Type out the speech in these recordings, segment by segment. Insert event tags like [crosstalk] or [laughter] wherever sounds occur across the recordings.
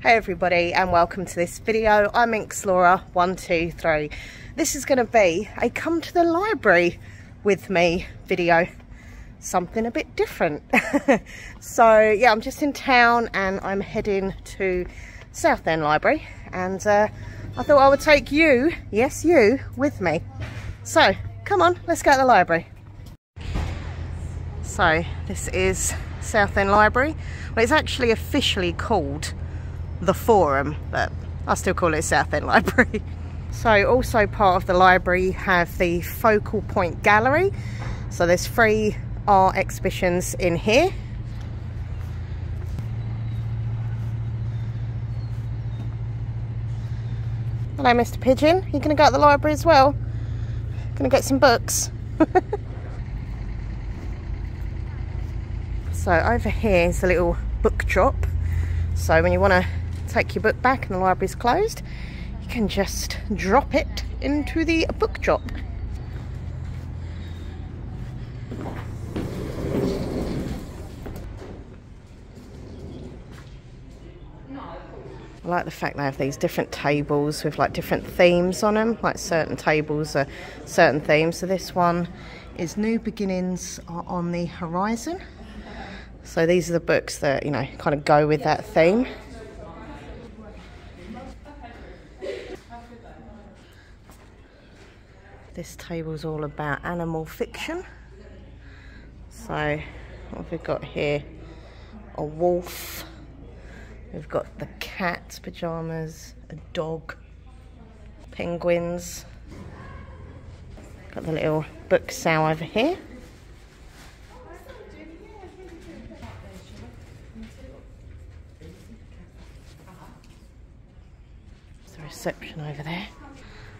Hey everybody and welcome to this video. I'm Inkslaura123. This is going to be a come to the library with me video. Something a bit different. [laughs] so yeah, I'm just in town and I'm heading to Southend Library and uh, I thought I would take you, yes you, with me. So come on, let's go to the library. So this is Southend Library. Well, it's actually officially called the Forum, but I still call it Southend Library. [laughs] so also part of the library have the Focal Point Gallery. So there's three art exhibitions in here. Hello, Mr. Pigeon. You are gonna go to the library as well? Gonna get some books? [laughs] so over here is a little book drop. So when you want to take your book back and the library's closed, you can just drop it into the book drop. I like the fact they have these different tables with like different themes on them, like certain tables are certain themes. So this one is New Beginnings on the Horizon. So these are the books that, you know, kind of go with that theme. This table is all about animal fiction. So what have we got here? a wolf. We've got the cat's pajamas, a dog, penguins. Got the little book sow over here. It's the reception over there.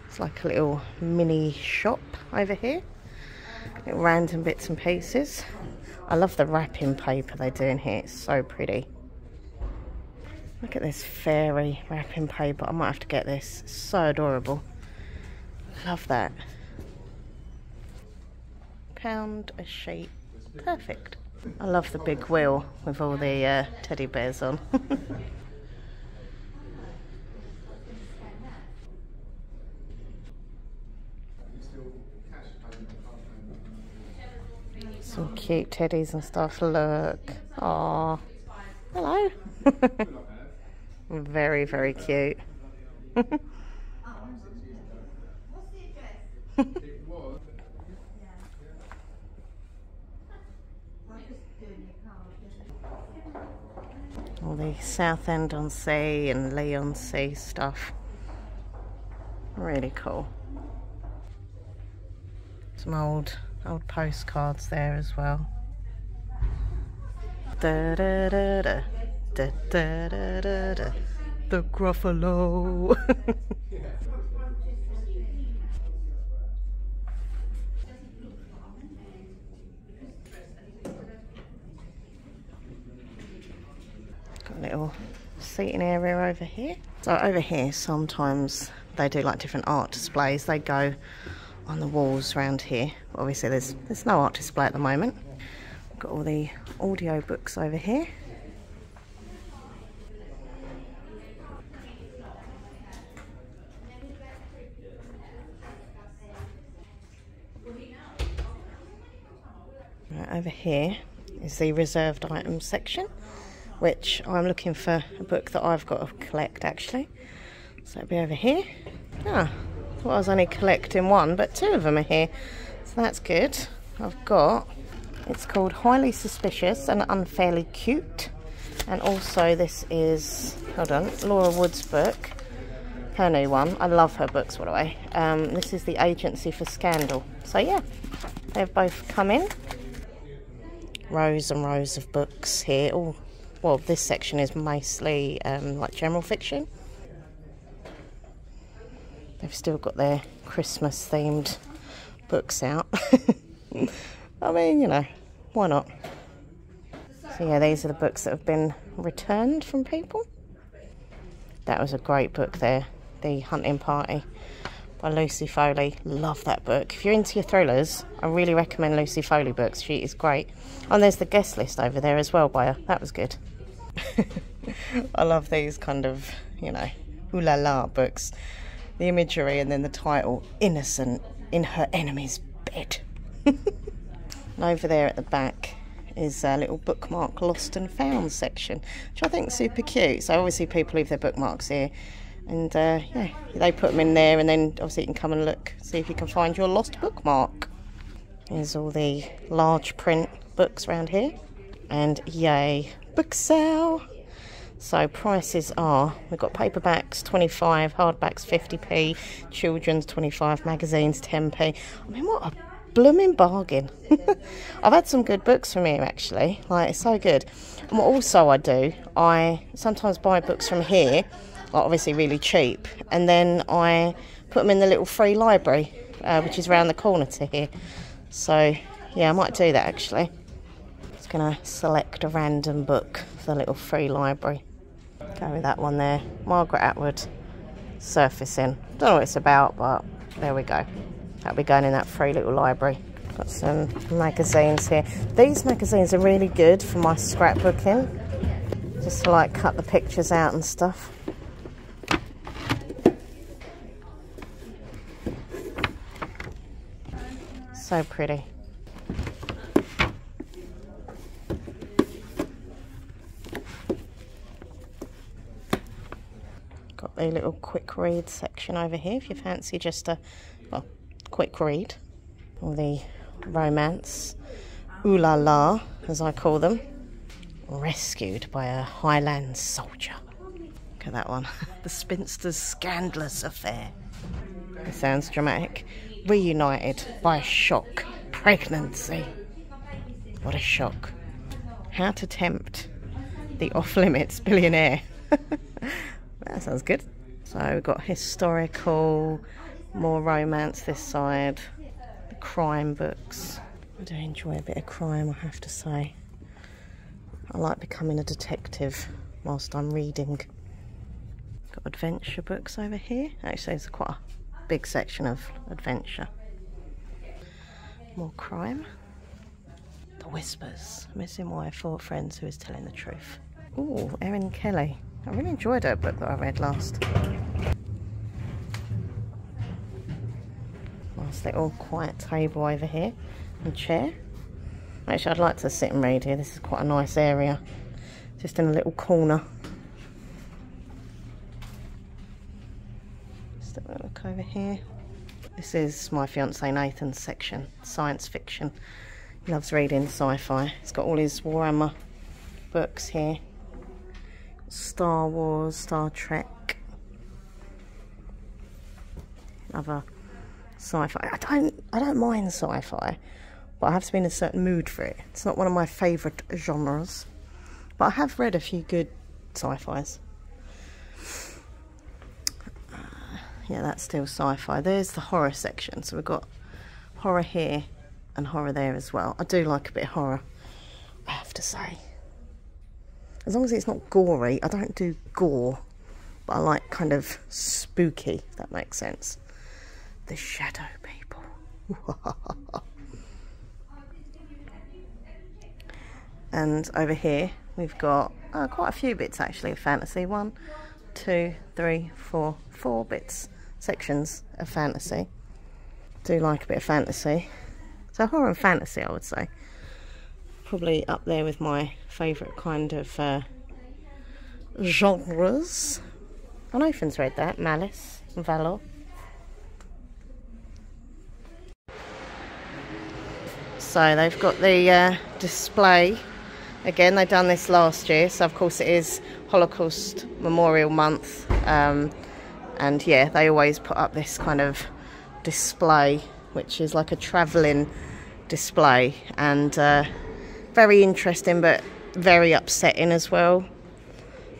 It's like a little mini shop over here. Little random bits and pieces. I love the wrapping paper they do in here. It's so pretty. Look at this fairy wrapping paper. I might have to get this. so adorable. Love that. Pound a sheet. Perfect. I love the big wheel with all the uh, teddy bears on. [laughs] understand that. Some cute teddies and stuff, look. ah, hello. [laughs] very, very cute. [laughs] [laughs] All the Southend on Sea and Lee on Sea stuff. Really cool. Some old, old postcards there as well. da da da da da da da da. The Gruffalo. [laughs] Got a little seating area over here. So over here, sometimes they do like different art displays. They go on the walls around here. Obviously, there's there's no art display at the moment. Got all the audio books over here. Right, over here is the reserved items section, which I'm looking for a book that I've got to collect actually. So it'll be over here. Ah, thought I was only collecting one, but two of them are here. So that's good. I've got, it's called Highly Suspicious and Unfairly Cute. And also this is, hold on, Laura Wood's book, her new one. I love her books, What the way. Um, this is The Agency for Scandal. So, yeah, they've both come in. Rows and rows of books here. Oh, well, this section is mostly um, like general fiction. They've still got their Christmas themed books out. [laughs] I mean, you know, why not? So yeah, these are the books that have been returned from people. That was a great book there, The Hunting Party by Lucy Foley. Love that book. If you're into your thrillers, I really recommend Lucy Foley books. She is great. And there's the guest list over there as well by her. That was good. [laughs] I love these kind of, you know, ooh la books. The imagery and then the title, Innocent in Her Enemy's Bed. [laughs] over there at the back, is a little bookmark lost and found section, which I think is super cute. So I always see people leave their bookmarks here. And uh, yeah, they put them in there and then obviously you can come and look, see if you can find your lost bookmark. There's all the large print books around here. And yay, book sale! So prices are, we've got paperbacks 25, hardbacks 50p, children's 25 magazines 10p i mean what a blooming bargain [laughs] i've had some good books from here actually like it's so good and what also i do i sometimes buy books from here obviously really cheap and then i put them in the little free library uh, which is around the corner to here so yeah i might do that actually just gonna select a random book for the little free library Carry that one there. Margaret Atwood surfacing. Don't know what it's about, but there we go. That'll be going in that free little library. Got some magazines here. These magazines are really good for my scrapbooking. Just to like cut the pictures out and stuff. So pretty. Got a little quick read section over here if you fancy just a quick read. All the romance, ooh la la, as I call them, rescued by a Highland soldier. Look at that one, [laughs] the spinster's scandalous affair. It sounds dramatic reunited by shock pregnancy. What a shock. How to tempt the off limits billionaire. [laughs] that sounds good. So we've got historical, more romance this side, the crime books. I do enjoy a bit of crime, I have to say. I like becoming a detective whilst I'm reading. Got adventure books over here. Actually, there's quite a big section of adventure. More crime. The Whispers. Missing wife, four friends who is telling the truth. Oh, Erin Kelly. I really enjoyed her book that I read last. Nice little quiet table over here and chair. Actually, I'd like to sit and read here. This is quite a nice area. Just in a little corner. Just have a look over here. This is my fiance Nathan's section, science fiction. He loves reading sci-fi. He's got all his Warhammer books here. Star Wars, Star Trek. Another sci-fi. I don't I don't mind sci-fi but I have to be in a certain mood for it. It's not one of my favourite genres, but I have read a few good sci-fis. Uh, yeah, that's still sci-fi. There's the horror section, so we've got horror here and horror there as well. I do like a bit of horror, I have to say. As long as it's not gory, I don't do gore, but I like kind of spooky, if that makes sense. The shadow people. [laughs] and over here we've got uh, quite a few bits actually of fantasy. One, two, three, four, four bits, sections of fantasy. Do like a bit of fantasy. So horror and fantasy I would say. Probably up there with my favourite kind of uh, genres. On Ophan's read that, Malice and Valor. So they've got the uh, display. Again, they've done this last year, so of course it is Holocaust Memorial Month. Um, and yeah, they always put up this kind of display, which is like a travelling display. And uh, very interesting, but very upsetting as well.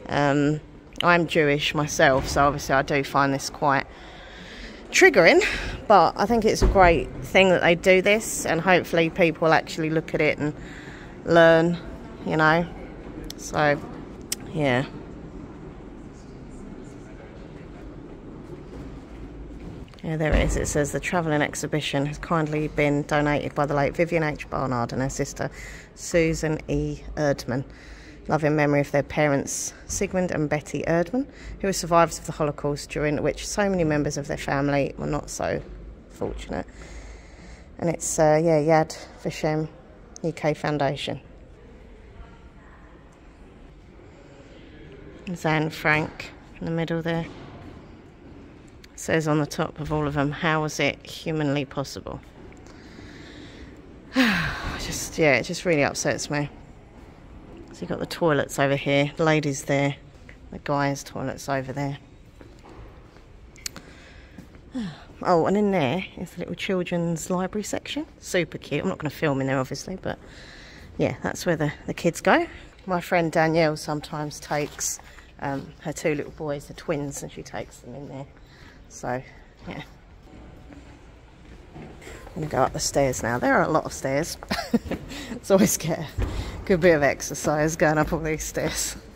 Um, I'm Jewish myself, so obviously I do find this quite triggering, but I think it's a great thing that they do this, and hopefully people will actually look at it and learn, you know. So, yeah. Yeah, there it is. It says the travelling exhibition kindly been donated by the late Vivian H. Barnard and her sister Susan E. Erdman. loving memory of their parents, Sigmund and Betty Erdman, who were survivors of the Holocaust, during which so many members of their family were not so fortunate. And it's, uh, yeah, Yad Vashem UK Foundation. Zan Frank in the middle there says on the top of all of them, how is it humanly possible? [sighs] just, yeah, it just really upsets me. So you've got the toilets over here, the ladies there, the guys' toilets over there. [sighs] Oh, and in there is the little children's library section. Super cute. I'm not going to film in there, obviously, but yeah, that's where the, the kids go my friend Danielle sometimes takes um, her two little boys, the twins, and she takes them in there. So, yeah. I'm going to go up the stairs now. There are a lot of stairs. [laughs] it's always good. Good bit of exercise going up all these stairs. [laughs]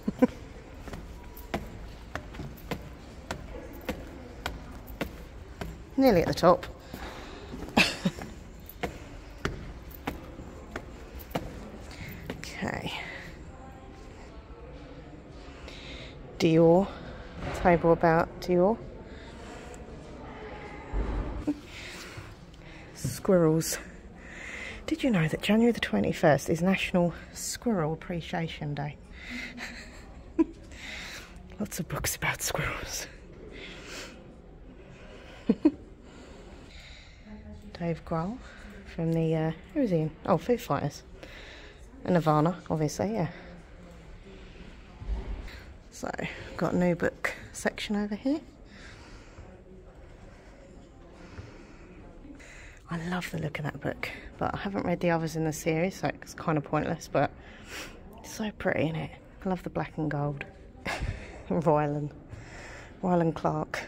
Nearly at the top. [laughs] Okay. Dior, table about Dior. Squirrels. Did you know that January the 21st is National Squirrel Appreciation Day? [laughs] Lots of books about squirrels. [laughs] Dave Grohl from the, uh, who is he in? Oh, Foo Fighters. And Nirvana, obviously, yeah. So, got new book section over here. I love the look of that book, but I haven't read the others in the series, so it's kind of pointless, but so pretty in it. I love the black and gold. [laughs] Royland. Rylan Clark.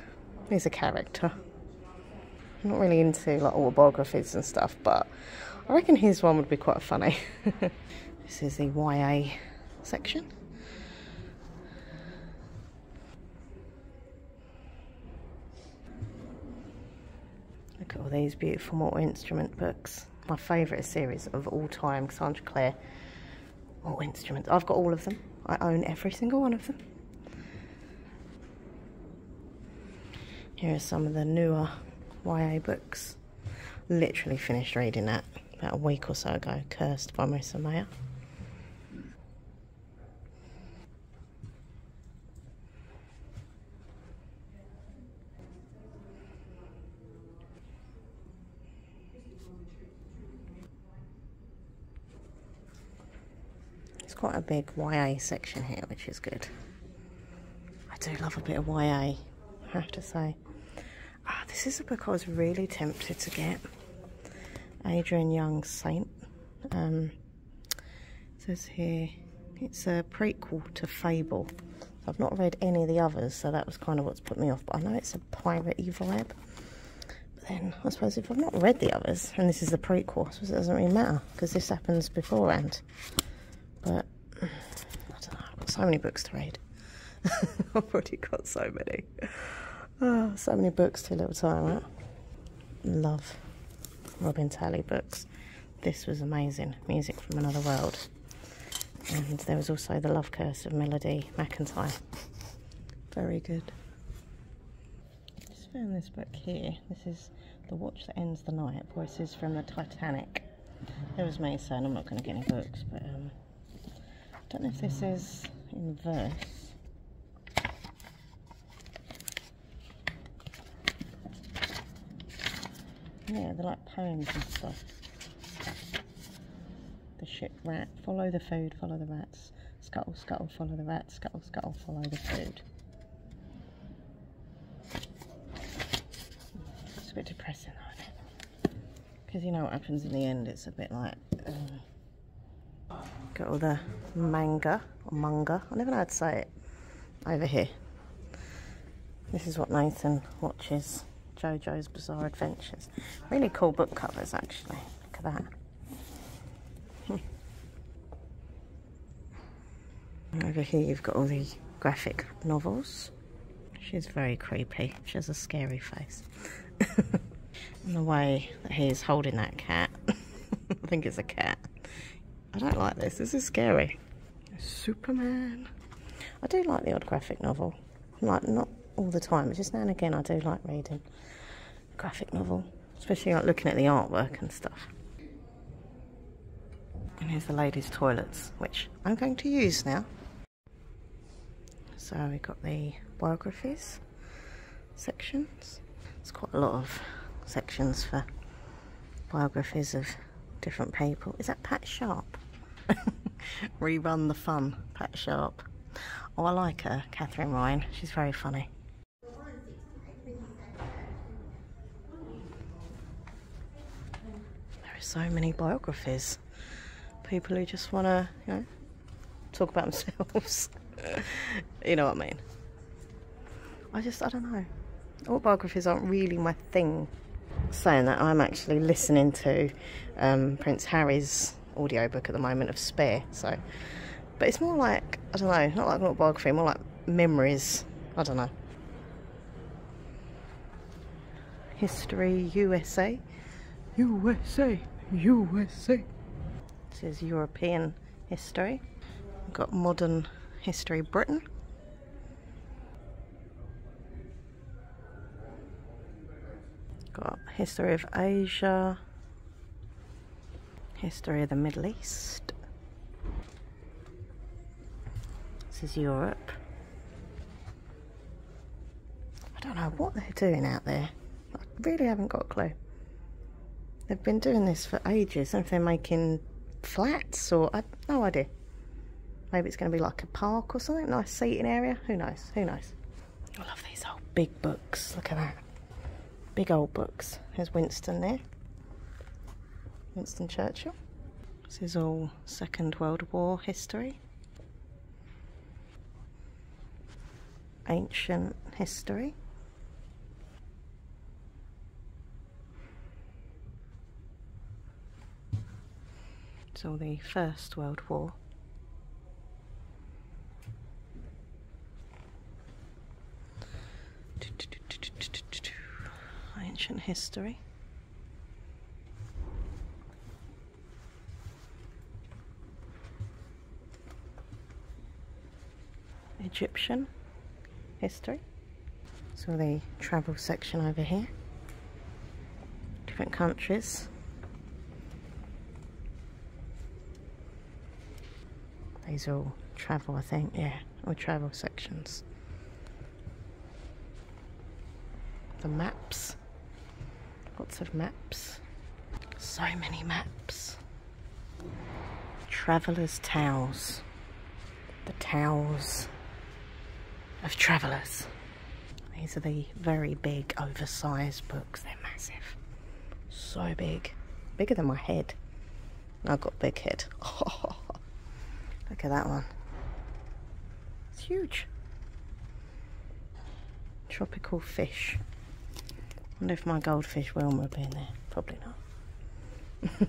is a character. I'm not really into like autobiographies and stuff, but I reckon his one would be quite funny. [laughs] this is the YA section. Look at all these beautiful multi-instrument books. My favourite series of all time, Cassandra Clare or instruments. I've got all of them. I own every single one of them. Here are some of the newer YA books. Literally finished reading that about a week or so ago, Cursed by Marissa Mayer. It's quite a big YA section here, which is good. I do love a bit of YA, I have to say. Ah, this is a book I was really tempted to get. Adrian Young's Saint. Um, says here, it's a prequel to Fable. I've not read any of the others, so that was kind of what put me off, but I know it's a piratey vibe. But then, I suppose if I've not read the others, and this is the prequel, I it doesn't really matter, because this happens beforehand. But, I don't know, I've got so many books to read. [laughs] I've already got so many. Oh, so many books to little time, Love Robin Talley books. This was amazing. Music from Another World. And there was also The Love Curse of Melody McIntyre very good. I just found this book here. This is The Watch That Ends the Night, Voices from the Titanic. It was me, so I'm not going to get any books, but um, I don't know if this is in verse. Yeah, they're like poems and stuff the ship rat, follow the food, follow the rats, scuttle, scuttle, follow the rats, scuttle, scuttle, follow the food. It's a bit depressing, Because you know what happens in the end, it's a bit like... Uh, got all the manga, or manga, I never know how to say it, over here. This is what Nathan watches, Jojo's Bizarre Adventures. Really cool book covers, actually. Look at that. [laughs] Over here you've got all the graphic novels. She's very creepy. She has a scary face. [laughs] and the way that he's holding that cat. [laughs] I think it's a cat. I don't like this. This is scary. Superman. I do like the odd graphic novel like not all the time, but just now and again I do like reading graphic novel, especially like looking at the artwork and stuff. And here's the ladies' toilets, which I'm going to use now. So we've got the biographies sections. It's quite a lot of sections for biographies of different people. Is that Pat Sharp? [laughs] Rerun the fun, Pat Sharp. Oh, I like her, Catherine Ryan. She's very funny. There are so many biographies. People who just want to, you know, talk about [laughs] themselves. you know what I mean? I just, I don't know. Autobiographies aren't really my thing. Saying that, I'm actually listening to um, Prince Harry's Audio book at the moment of Spare. So, but it's more like I don't know, not like an autobiography, more like memories. I don't know. History USA, USA, USA. It says European history. got modern history Britain. Got history of Asia, history of the Middle East. This is Europe. I don't know what they're doing out there. I really haven't got a clue. They've been doing this for ages. I don't they making flats or... I no idea. Maybe it's going to be like a park or something, nice seating area. Who knows? Who knows? I love these old big books. Look at that. Big old books. There's Winston there. Winston Churchill. This is all Second World War history. Ancient history. So the First World War. Ancient history. Egyptian history. So the travel section over here different countries. These are all travel, I think, yeah, all travel sections. The maps, lots of maps, so many maps. Travelers' towels, the towels of travellers. These are the very big, oversized books. They're massive. So big. Bigger than my head. I've got big head. [laughs] look at that one. It's huge. Tropical fish. wonder if my goldfish Wilma will be in there. Probably not.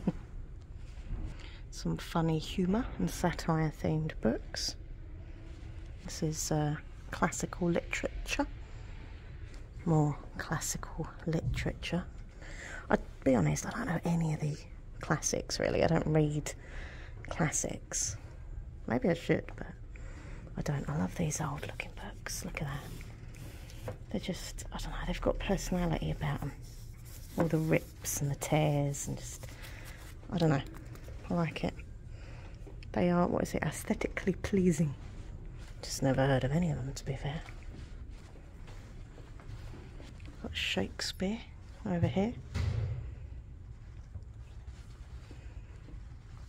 [laughs] Some funny humour and satire themed books. This is uh, classical literature, more classical literature. I'd be honest, I don't know any of the classics really. I don't read classics. Maybe I should, but I don't. I love these old looking books. Look at that. They're just, I don't know, they've got personality about them. All the rip and the tears and just, I don't know, I like it. They are, what is it, aesthetically pleasing. Just never heard of any of them, to be fair. Got Shakespeare over here.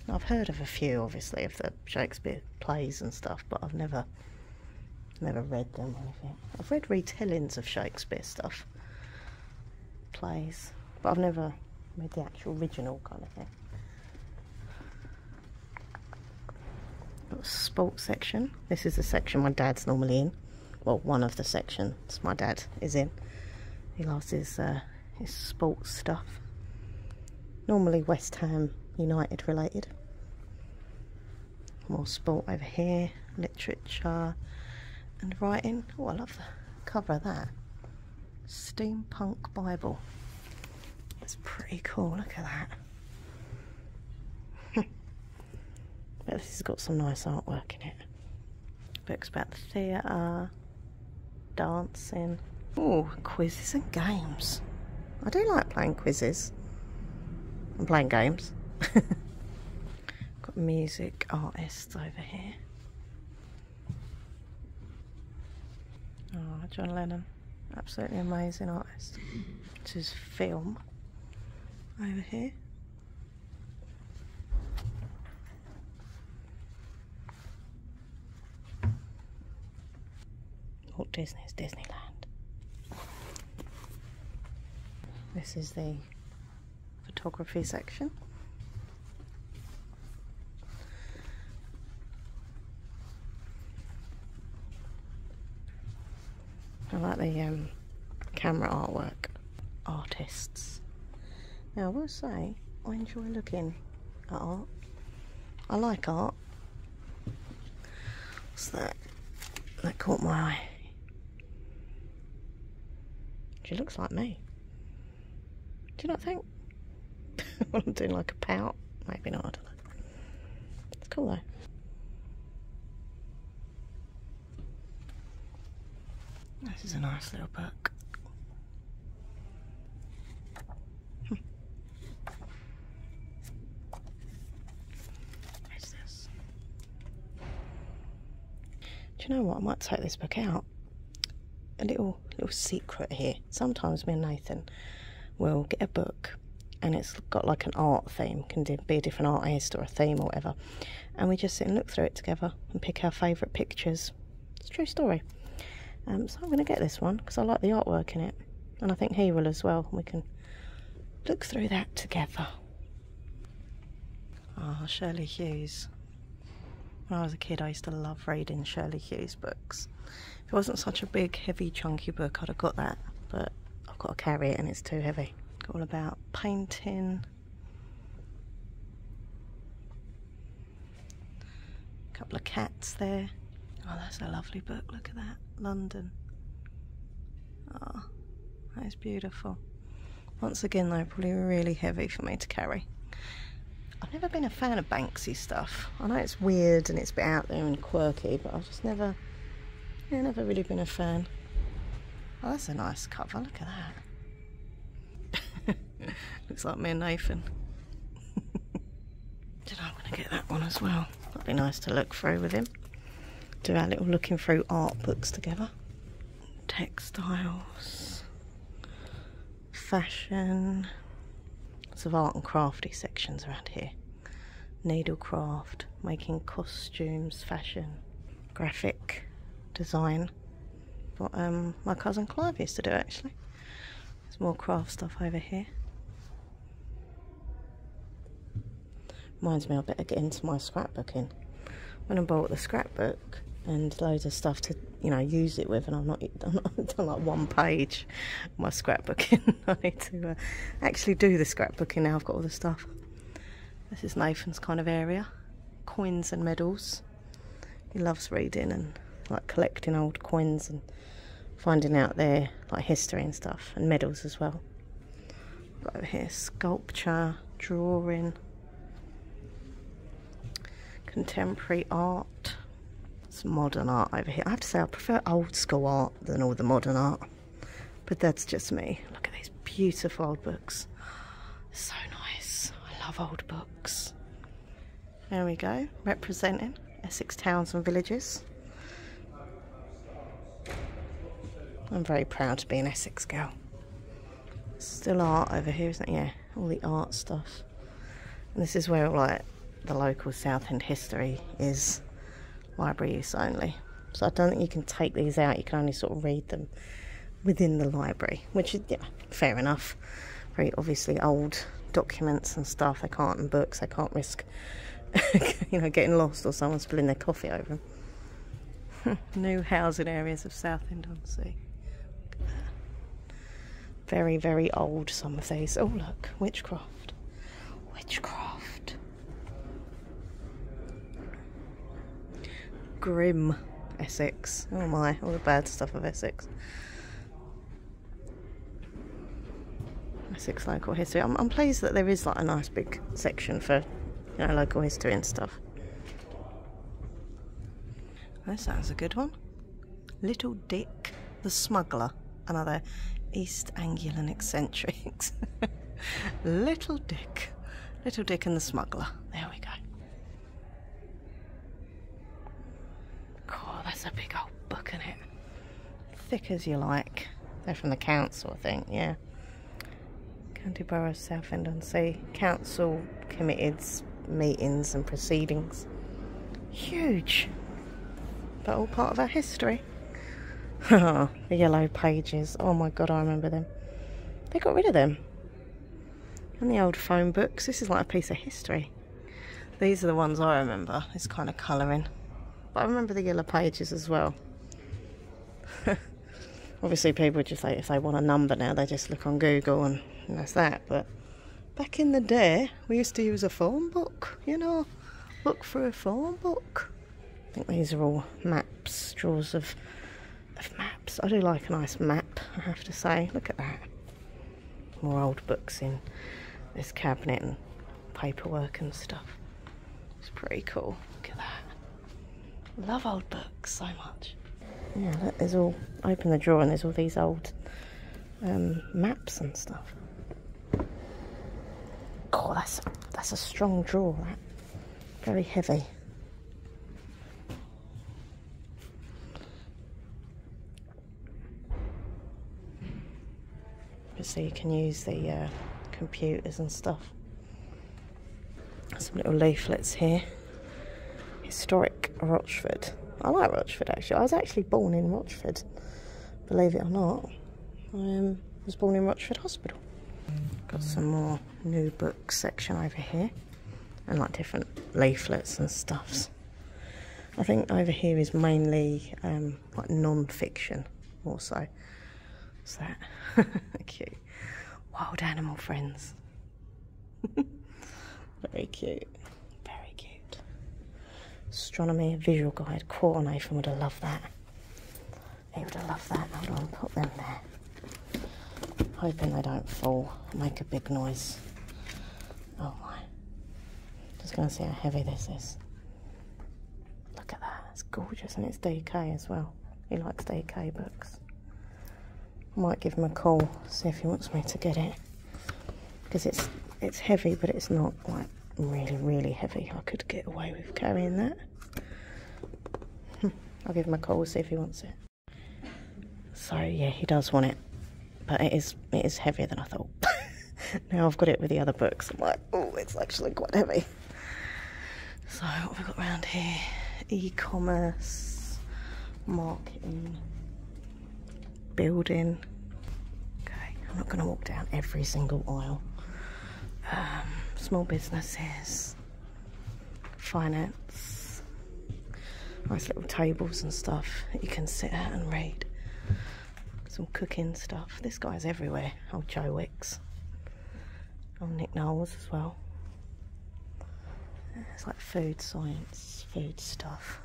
I've heard of a few, obviously, of the Shakespeare plays and stuff, but I've never, never read them anything. I've read retellings of Shakespeare stuff, plays. But I've never made the actual original kind of thing. sports section. This is the section my dad's normally in. Well, one of the sections my dad is in. He loves his, uh, his sports stuff. Normally West Ham United related. More sport over here literature and writing. Oh, I love the cover of that. Steampunk Bible. That's pretty cool, look at that. [laughs] but this has got some nice artwork in it. Books about theatre, dancing. Oh, quizzes and games. I do like playing quizzes and playing games. [laughs] got music artists over here. Oh, John Lennon, absolutely amazing artist. This is film over here. Walt Disney's Disneyland. This is the photography section. I like the um, camera artwork artists. Now I will say I enjoy looking at art. I like art. What's that? That caught my eye. She looks like me. Do you not think? [laughs] well, I'm doing like a pout. Maybe not, It's cool though. This is a nice little book. Hmm. What's this? Do you know what? I might take this book out. A little little secret here. Sometimes me and Nathan will get a book and it's got like an art theme, can be a different artist or a theme or whatever. And we just sit and look through it together and pick our favourite pictures. It's true story. Um, so I'm going to get this one because I like the artwork in it. And I think he will as well. We can look through that together. Ah, oh, Shirley Hughes. When I was a kid, I used to love reading Shirley Hughes books. If it wasn't such a big, heavy, chunky book, I'd have got that. But I've got to carry it and it's too heavy. all about painting. A couple of cats there. Oh, that's a lovely book. Look at that. London. Oh, that is beautiful. Once again they're probably really heavy for me to carry. I've never been a fan of Banksy stuff. I know it's weird and it's a bit out there and quirky, but I've just never, yeah, never really been a fan. Oh, that's a nice cover, look at that. [laughs] Looks like me and Nathan. Did [laughs] I'm gonna get that one as well. That'd be nice to look through with him. Do our little looking through art books together textiles, fashion, lots of art and crafty sections around here. Needlecraft, making costumes, fashion, graphic design. What um, my cousin Clive used to do actually. There's more craft stuff over here. Reminds me I better get into my scrapbooking. When I bought the scrapbook and loads of stuff to, you know, use it with and I've not [laughs] I've done like one page my scrapbooking. [laughs] I need to uh, actually do the scrapbooking now I've got all the stuff. This is Nathan's kind of area. Coins and medals. He loves reading and like collecting old coins and finding out their like history and stuff and medals as well over here sculpture, drawing, contemporary art, some modern art over here. I have to say I prefer old school art than all the modern art, but that's just me. Look at these beautiful old books. So nice. I love old books. There we go, representing Essex towns and villages. I'm very proud to be an Essex girl. Still art over here, isn't it? Yeah, all the art stuff. this is where like the local Southend history is library use only. So I don't think you can take these out. You can only sort of read them within the library, which is yeah, fair enough. Very obviously old documents and stuff. They can't and books. They can't risk [laughs] you know getting lost or someone spilling their coffee over them. [laughs] new housing areas of Southend on Sea. Very, very old, some of these. Oh, look, witchcraft. Witchcraft. Grim Essex. Oh my, all the bad stuff of Essex. Essex local history. I'm pleased that there is like a nice big section for I like history and stuff. That sounds a good one. Little Dick the Smuggler. Another East Anglian eccentric. [laughs] Little Dick. Little Dick and the Smuggler. There we go. Cool, that's a big old book, in it? Thick as you like. They're from the council, I think, yeah. County Borough of Southend on Sea Council committee's meetings and proceedings. Huge, but all part of our history. [laughs] the yellow pages. Oh my god, I remember them. They got rid of them. And the old phone books. This is like a piece of history. These are the ones I remember. It's kind of colouring. But I remember the yellow pages as well. [laughs] obviously people just like if they want a number now they just look on google and, that's that but back in the day we used to use a phone book you know look for a phone book i think these are all maps Drawers of of maps i do like a nice map i have to say look at that more old books in this cabinet and paperwork and stuff it's pretty cool look at that Love old books so much. Yeah, there's all, open the drawer and there's all these old um, maps and stuff. Oh, that's, that's a strong drawer, Very heavy. So you can use the uh, computers and stuff. Some little leaflets here. Historic Rochford. I like Rochford actually. I was actually born in Rochford, believe it or not. I um, was born in Rochford Hospital. Got some more new book section over here and like different leaflets and stuffs. I think over here is mainly um, like non-fiction also. What's that? cute. [laughs] Wild animal friends. [laughs] Very cute. Very cute. Astronomy visual guide. Quarter Nathan would have loved that. He would have loved that. Hold on, put them there. Hoping they don't fall. Make a big noise. Oh my. Just gonna see how heavy this is. Look at that. That's gorgeous and it's DK as well. He likes DK books. Might give him a call, see if he wants me to get it. Because it's it's heavy, but it's not like really, really heavy. I could get away with carrying that. [laughs] I'll give him a call, see if he wants it. So yeah, he does want it. But it is it is heavier than I thought. [laughs] now I've got it with the other books. i oh, it's actually quite heavy. So what have we got around here? E-commerce, marketing, building. Okay, I'm not going to walk down every single aisle. Um, small businesses, finance, nice little tables and stuff that you can sit at and read. Some cooking stuff. This guy's everywhere, old Joe Wicks. On oh, Nick Knowles as well. It's like food science, food stuff,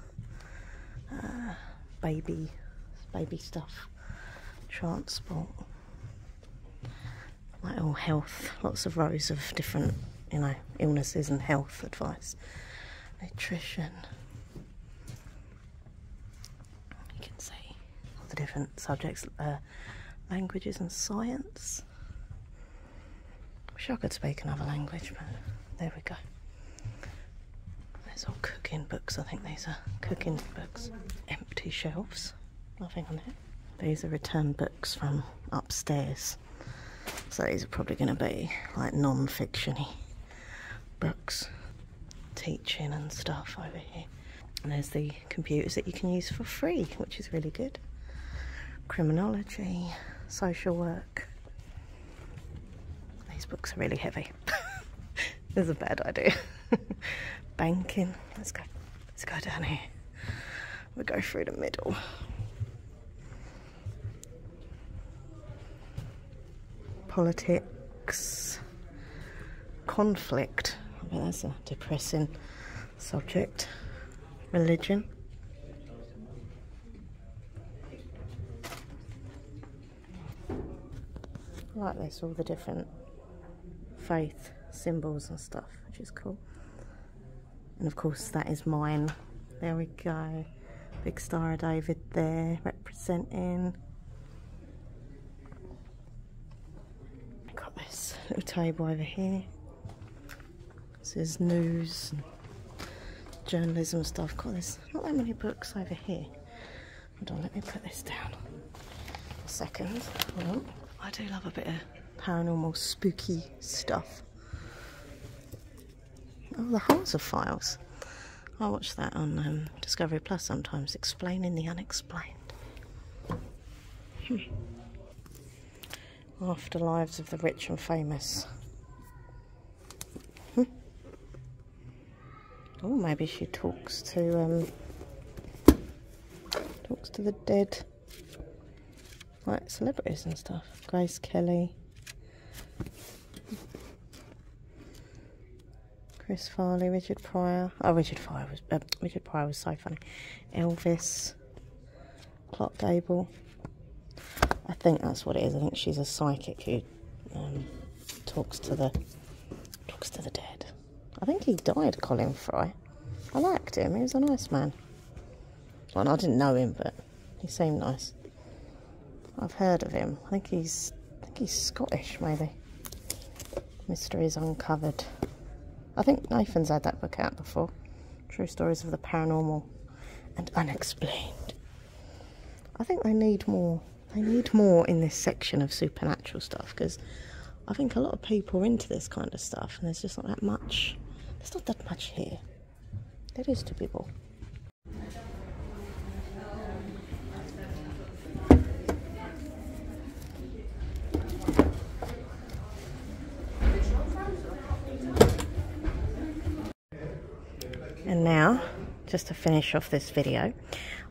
uh, baby, baby stuff, transport, like all health, lots of rows of different, you know, illnesses and health advice, nutrition, you can see all the different subjects, uh, languages and science. Wish I could speak another language, but there we go. There's all cooking books. I think these are cooking books. Empty shelves. Nothing on it. These are return books from upstairs. So these are probably going to be like non-fictiony books teaching and stuff over here. there's the computers that you can use for free, which is really good. Criminology, social work. These books are really heavy. [laughs] this is a bad idea. [laughs] Banking. Let's go. Let's go down here. We'll go through the middle. Politics conflict. Well, that's a depressing subject. Religion. like this, all the different faith symbols and stuff, which is cool. And of course, that is mine. There we go. Big Star of David there, representing. Got this little table over here. It says news and journalism stuff. Got this, not that many books over here. Hold on, let me put this down a second. Well, I do love a bit of paranormal spooky stuff. Oh, the Hearts of Files. I watch that on um, Discovery Plus sometimes, explaining the unexplained. Afterlives of the Rich and Famous. Hmm. oh, maybe she talks to um, talks to the dead, like celebrities and stuff. Grace Kelly. Chris Farley, Richard Pryor. Oh, uh, Richard Pryor was so funny. Elvis, Clark Gable. I think that's what it is. I think she's a psychic who um, talks to the talks to the dead. I think he died, Colin Fry. I liked him. He was a nice man. Well, I didn't know him, but he seemed nice. I've heard of him. I think he's I think he's Scottish, maybe. Mysteries Uncovered. I think Nathan's had that book out before. True Stories of the Paranormal and Unexplained. I think they need more. They need more in this section of supernatural stuff because I think a lot of people are into this kind of stuff and there's just not that much. There's not that much here. There is to people. And now, just to finish off this video,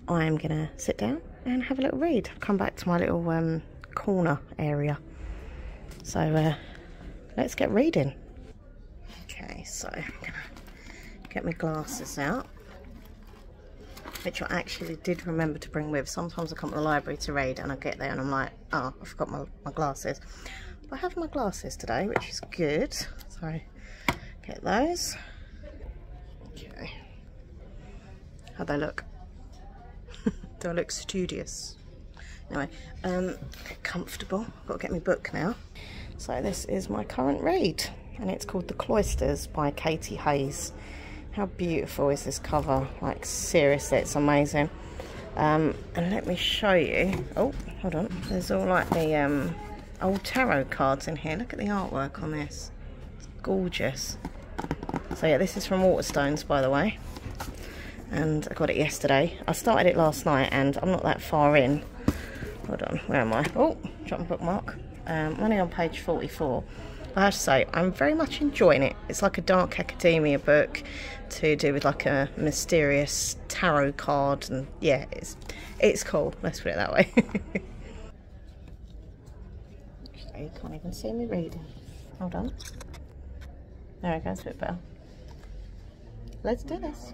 I'm going to sit down and have a little read. come back to my little um, corner area. So uh, let's get reading. Okay, so I'm going to get my glasses out which I actually did remember to bring with. Sometimes I come to the library to read and I get there and I'm like, oh, I forgot my, my glasses. But I have my glasses today, which is good. So get those. Okay. How they look? [laughs] Do I look studious? Anyway, um, comfortable. got to get my book now. So this is my current read and it's called The Cloisters by Katie Hayes. How beautiful is this cover? Like, seriously, it's amazing. Um, and let me show you. Oh, hold on. There's all like the um, old tarot cards in here. Look at the artwork on this. It's gorgeous. So yeah, this is from Waterstones, by the way. And I got it yesterday. I started it last night, and I'm not that far in. Hold on, where am I? Oh, drop bookmark um, running on page 44. I have to say, I'm very much enjoying it. It's like a dark academia book to do with like a mysterious tarot card, and yeah, it's it's cool. Let's put it that way. Actually, [laughs] you can't even see me reading. Hold on. There it goes, bit better. Let's do this.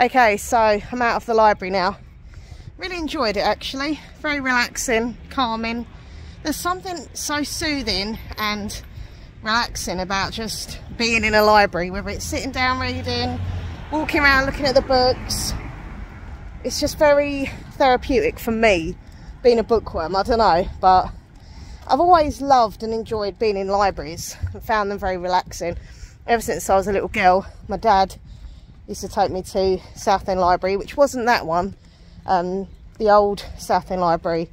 Okay, so I'm out of the library now. Really enjoyed it actually. Very relaxing, calming. There's something so soothing and relaxing about just being in a library, whether it's sitting down reading, walking around looking at the books. It's just very therapeutic for me, being a bookworm, I don't know, but I've always loved and enjoyed being in libraries and found them very relaxing ever since I was a little girl, my dad used to take me to Southend Library, which wasn't that one. Um, the old Southend Library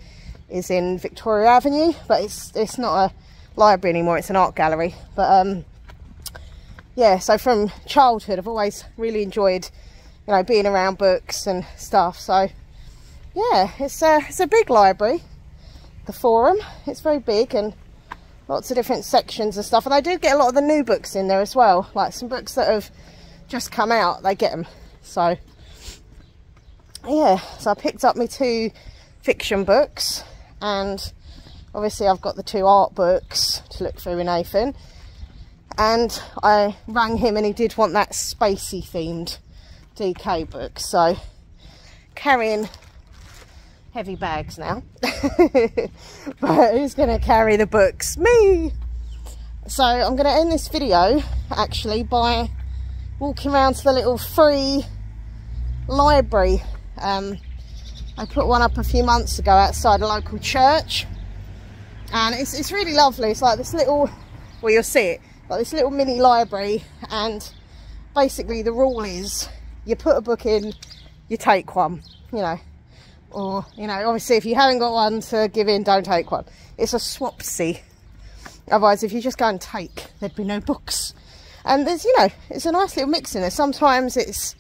is in Victoria Avenue, but it's it's not a library anymore, it's an art gallery. But um, yeah, so from childhood, I've always really enjoyed, you know, being around books and stuff. So yeah, it's a, it's a big library, the Forum. It's very big and lots of different sections and stuff. And I do get a lot of the new books in there as well. Like some books that have just come out, they get them. So, yeah. So I picked up my two fiction books. And obviously I've got the two art books to look through in Nathan. And I rang him and he did want that spacey themed DK book. So carrying heavy bags now. [laughs] but who's going to carry the books? Me! So I'm going to end this video actually by walking around to the little free library. Um, I put one up a few months ago outside a local church. And it's, it's really lovely. It's like this little, well you'll see it, like this little mini library. And basically the rule is you put a book in, you take one, you know. Or, you know, obviously if you haven't got one to give in, don't take one. It's a swapsy. Otherwise, if you just go and take, there'd be no books. And there's, you know, it's a nice little mix in there. Sometimes it's,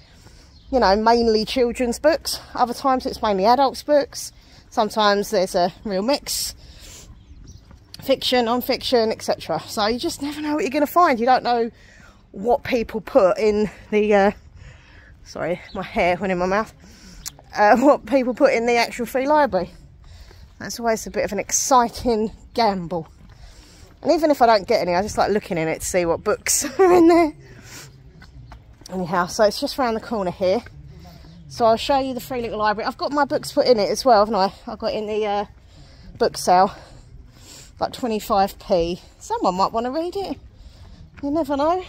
you know, mainly children's books. Other times it's mainly adults' books. Sometimes there's a real mix fiction, non-fiction, etc. So you just never know what you're going to find. You don't know what people put in the uh, sorry my hair went in my mouth uh, [laughs] what people put in the actual free library that's always a bit of an exciting gamble and even if I don't get any I just like looking in it to see what books [laughs] are in there anyhow so it's just round the corner here so I'll show you the free little library I've got my books put in it as well haven't I I got in the uh, book sale about 25p. Someone might want to read it. You never know.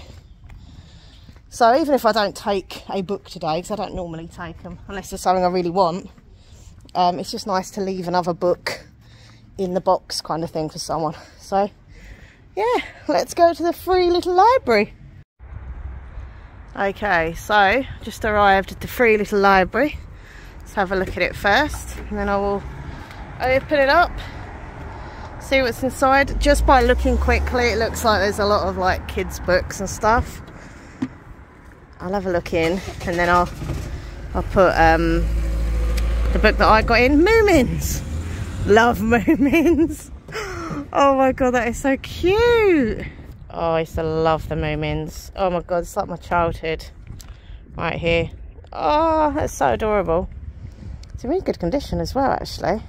So even if I don't take a book today, because I don't normally take them, unless there's something I really want, um, it's just nice to leave another book in the box kind of thing for someone. So yeah, let's go to the free little library. Okay, so just arrived at the free little library. Let's have a look at it first and then I will open it up, see what's inside. Just by looking quickly it looks like there's a lot of like kids books and stuff. I'll have a look in and then I'll I'll put um, the book that I got in, Moomins. Love Moomins. [gasps] oh my god, that is so cute. Oh, I used to love the Moomins. Oh my god, it's like my childhood right here. Oh, that's so adorable. It's in really good condition as well, actually.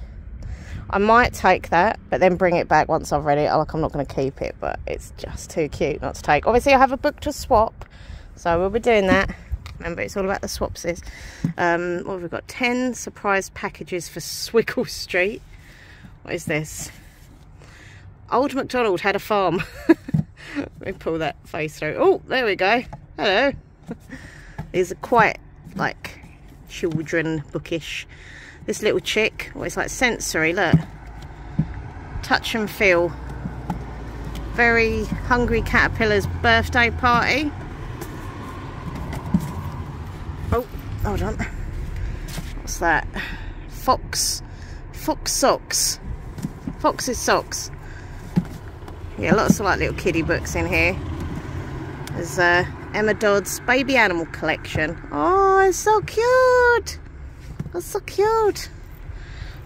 I might take that, but then bring it back once I've read it. Oh, like, I'm not going to keep it, but it's just too cute not to take. Obviously, I have a book to swap, so we'll be doing that. [laughs] Remember, it's all about the swapsies. Um, what have we got? 10 surprise packages for Swickle [laughs] Street. What is this? Old MacDonald had a farm. [laughs] Let me pull that face out. Oh, there we go. Hello. These are quite like children bookish. This little chick, well, it's like sensory, look. Touch and feel. Very hungry caterpillar's birthday party. Oh, hold on. What's that? Fox, fox socks. Fox's socks. Yeah, lots of like little kiddie books in here. There's uh, Emma Dodd's baby animal collection. Oh, it's so cute. That's so cute.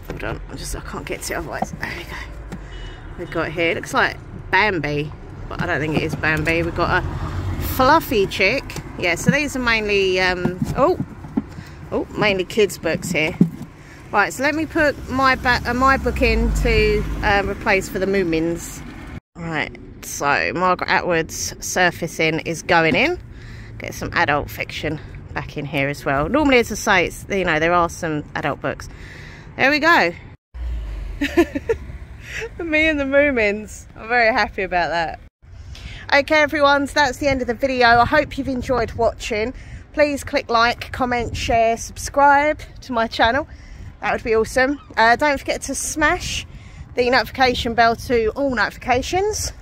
Hold on, I just I can't get to it otherwise. There we go. We've got here, looks like Bambi, but I don't think it is Bambi. We've got a fluffy chick. Yeah, so these are mainly, um, oh, oh, mainly kids' books here. Right, so let me put my, uh, book in to um, replace for the Moomins. Right, so Margaret Atwood's Surfacing is going in. Get some adult fiction back in here as well. Normally, as I say, you know, there are some adult books. There we go. [laughs] Me and the Moomins. I'm very happy about that okay everyone so that's the end of the video i hope you've enjoyed watching please click like comment share subscribe to my channel that would be awesome uh, don't forget to smash the notification bell to all notifications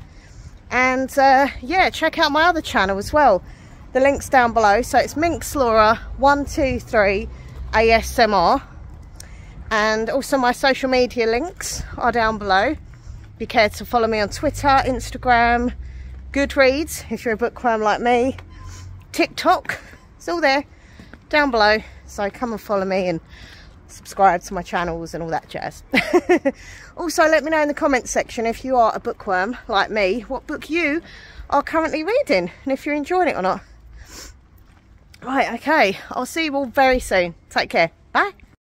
and uh, yeah check out my other channel as well the links down below so it's minx laura 123 asmr and also my social media links are down below be care to follow me on Twitter, Instagram, Goodreads, if you're a bookworm like me, TikTok, it's all there down below. So come and follow me and subscribe to my channels and all that jazz. [laughs] also, let me know in the comments section if you are a bookworm like me, what book you are currently reading and if you're enjoying it or not. Right, okay. I'll see you all very soon. Take care. Bye.